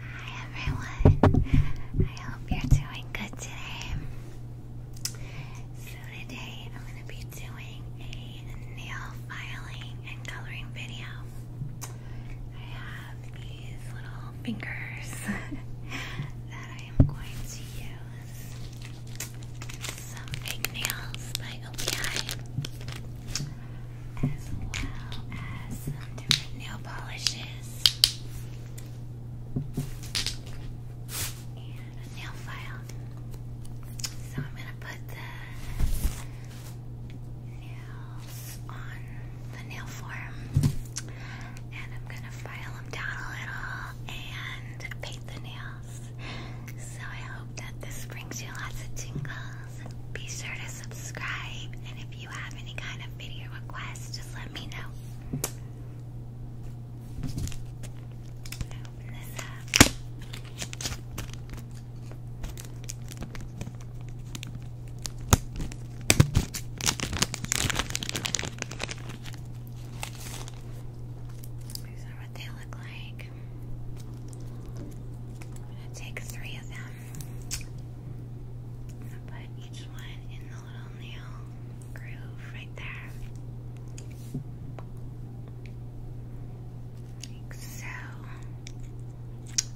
Hi everyone. I hope you're doing good today. So today I'm going to be doing a nail filing and coloring video. I have these little fingers that I am going to use some egg nails by OPI, as well as some nail polishes and a nail file. So I'm gonna put the nails on the nail form, and I'm gonna file them down a little and paint the nail. So I hope that this brings you lots of tingles. Be sure to subscribe, and if you have any kind of video requests, just let me know. Open this up. These are what they look like. I'm gonna take three of them. I'm gonna put each one in the little nail groove right there. Like so.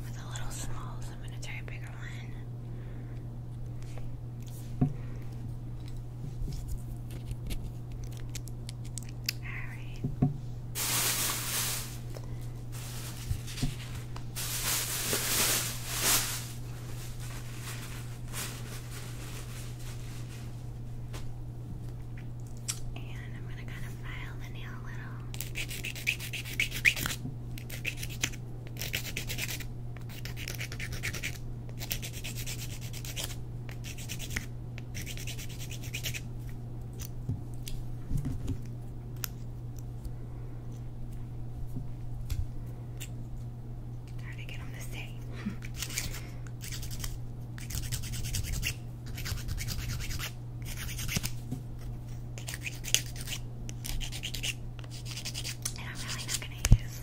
With a little small, so I'm gonna try a bigger one. Alright. And I'm going to kind of file the nail a little. Trying to get on this day. I'm really not gonna use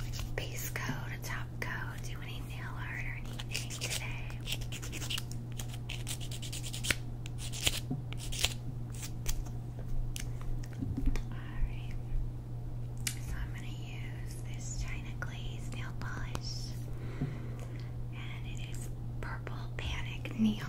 like base coat, a top coat, do any nail art or anything today. Alright. So I'm gonna use this China Glaze nail polish. And it is purple panic neon.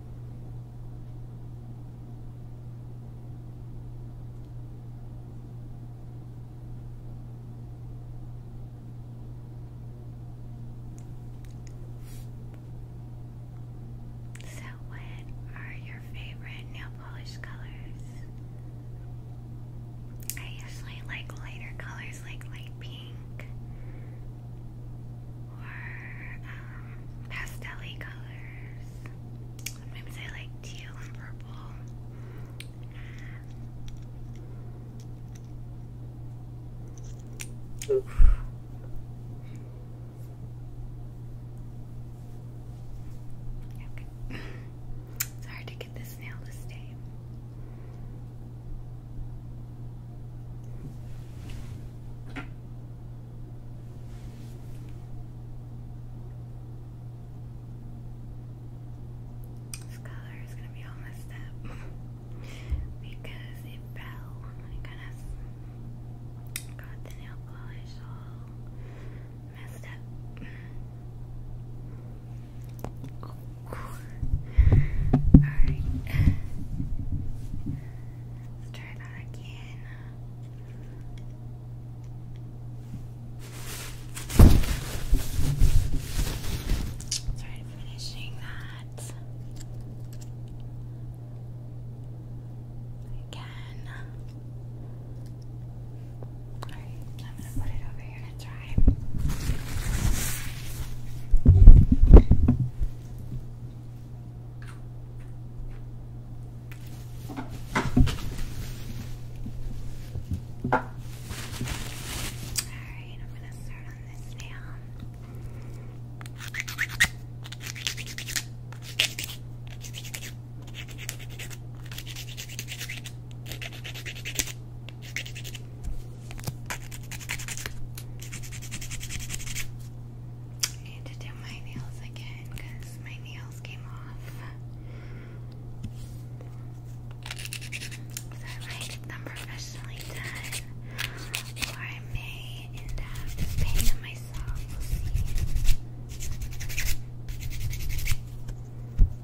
So, what are your favorite nail polish colors? I usually like lighter colors like light pink. Um, Pastel colors. Sometimes I like teal and purple. Oof. Okay. it's hard to get this nail to stay. This color is going to be all messed up because it fell when it got the nail polish all messed up. Oh. Alright. Let's try that again. Sorry finishing that. Again. Alright, I'm gonna put it over here we're Alright, I'm gonna start on this nail. I need to do my nails again because my nails came off. So I might get them professionally done, or I may end up just painting myself.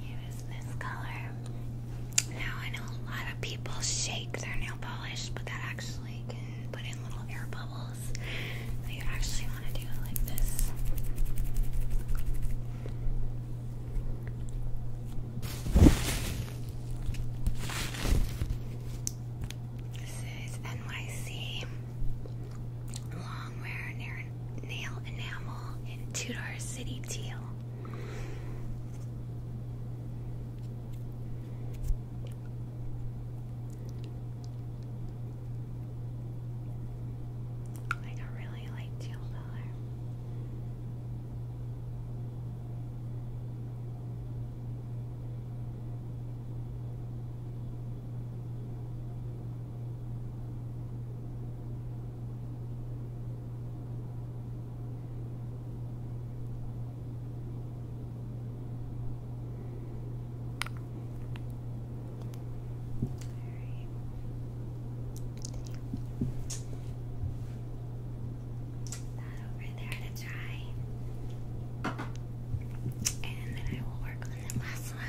use this color. Now I know a lot of people shake their nail polish, but that actually can put in little air bubbles. So you actually want to do like this. This is NYC Longwear Nail Enamel in Tudor City Teal. Like a really light teal color. That over there to try. And then I will work on the last one.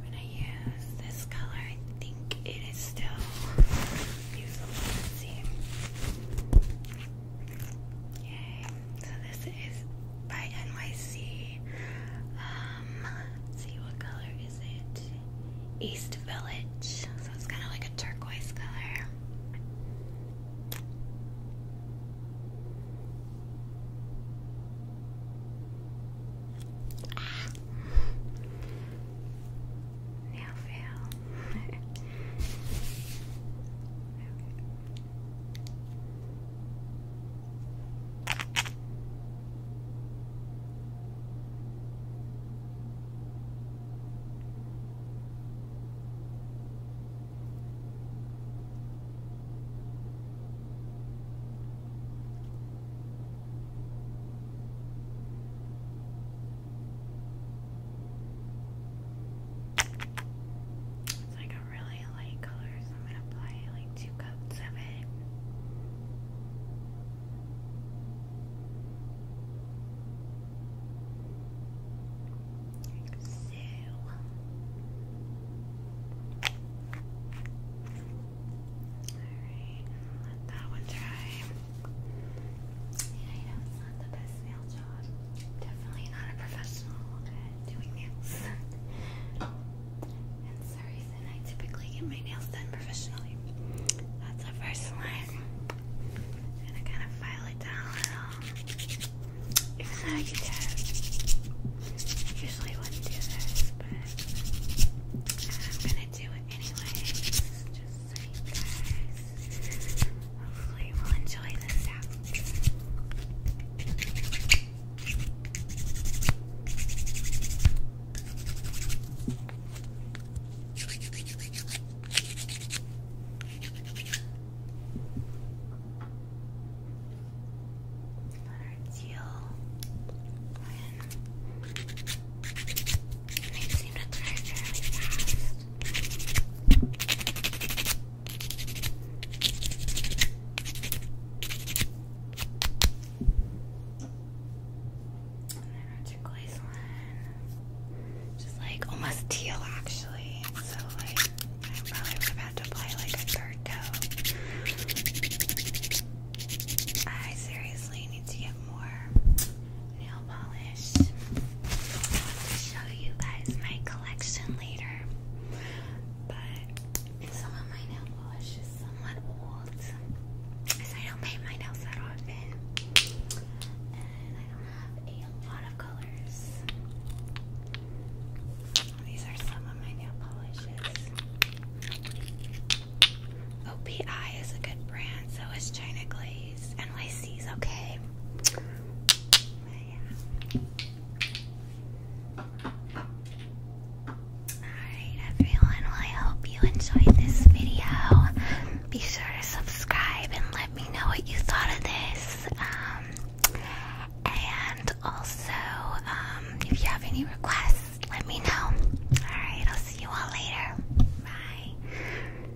When I use this color, I think it is still usable. Yay so this is by NYC. Um, see what color is it? East Village. So it's kind of like a turquoise color. Ah. fail. It's like really light color, I'm gonna apply like two coats of it. so. Alright, let that one dry. Yeah, I know it's not the best nail so I'm definitely not a professional at doing nails. and the reason I typically get my nails done professionally. That's the first one. I'm gonna kind of file it down a little. Even though I can tell, I usually wouldn't do this, but I'm gonna do it anyway. Just so you guys Hopefully, you will enjoy this sound. Another teal one. They seem to turn fairly fast. Just like almost teal actually. So like I probably was about to apply like a third coat. I seriously need to get more nail polish. I want show you guys my collection later, but some of my nail polish is somewhat old because I don't paint my nails that often, and I don't have a lot of colors. These are some of my nail polishes. OPI is a good brand, so is China Glaze. NYC is okay. Alright, everyone, I hope you enjoyed this video. Be sure to subscribe and let me know what you thought of this. Um, and also, um, if you have any requests, let me know. Alright, I'll see you all later. Bye.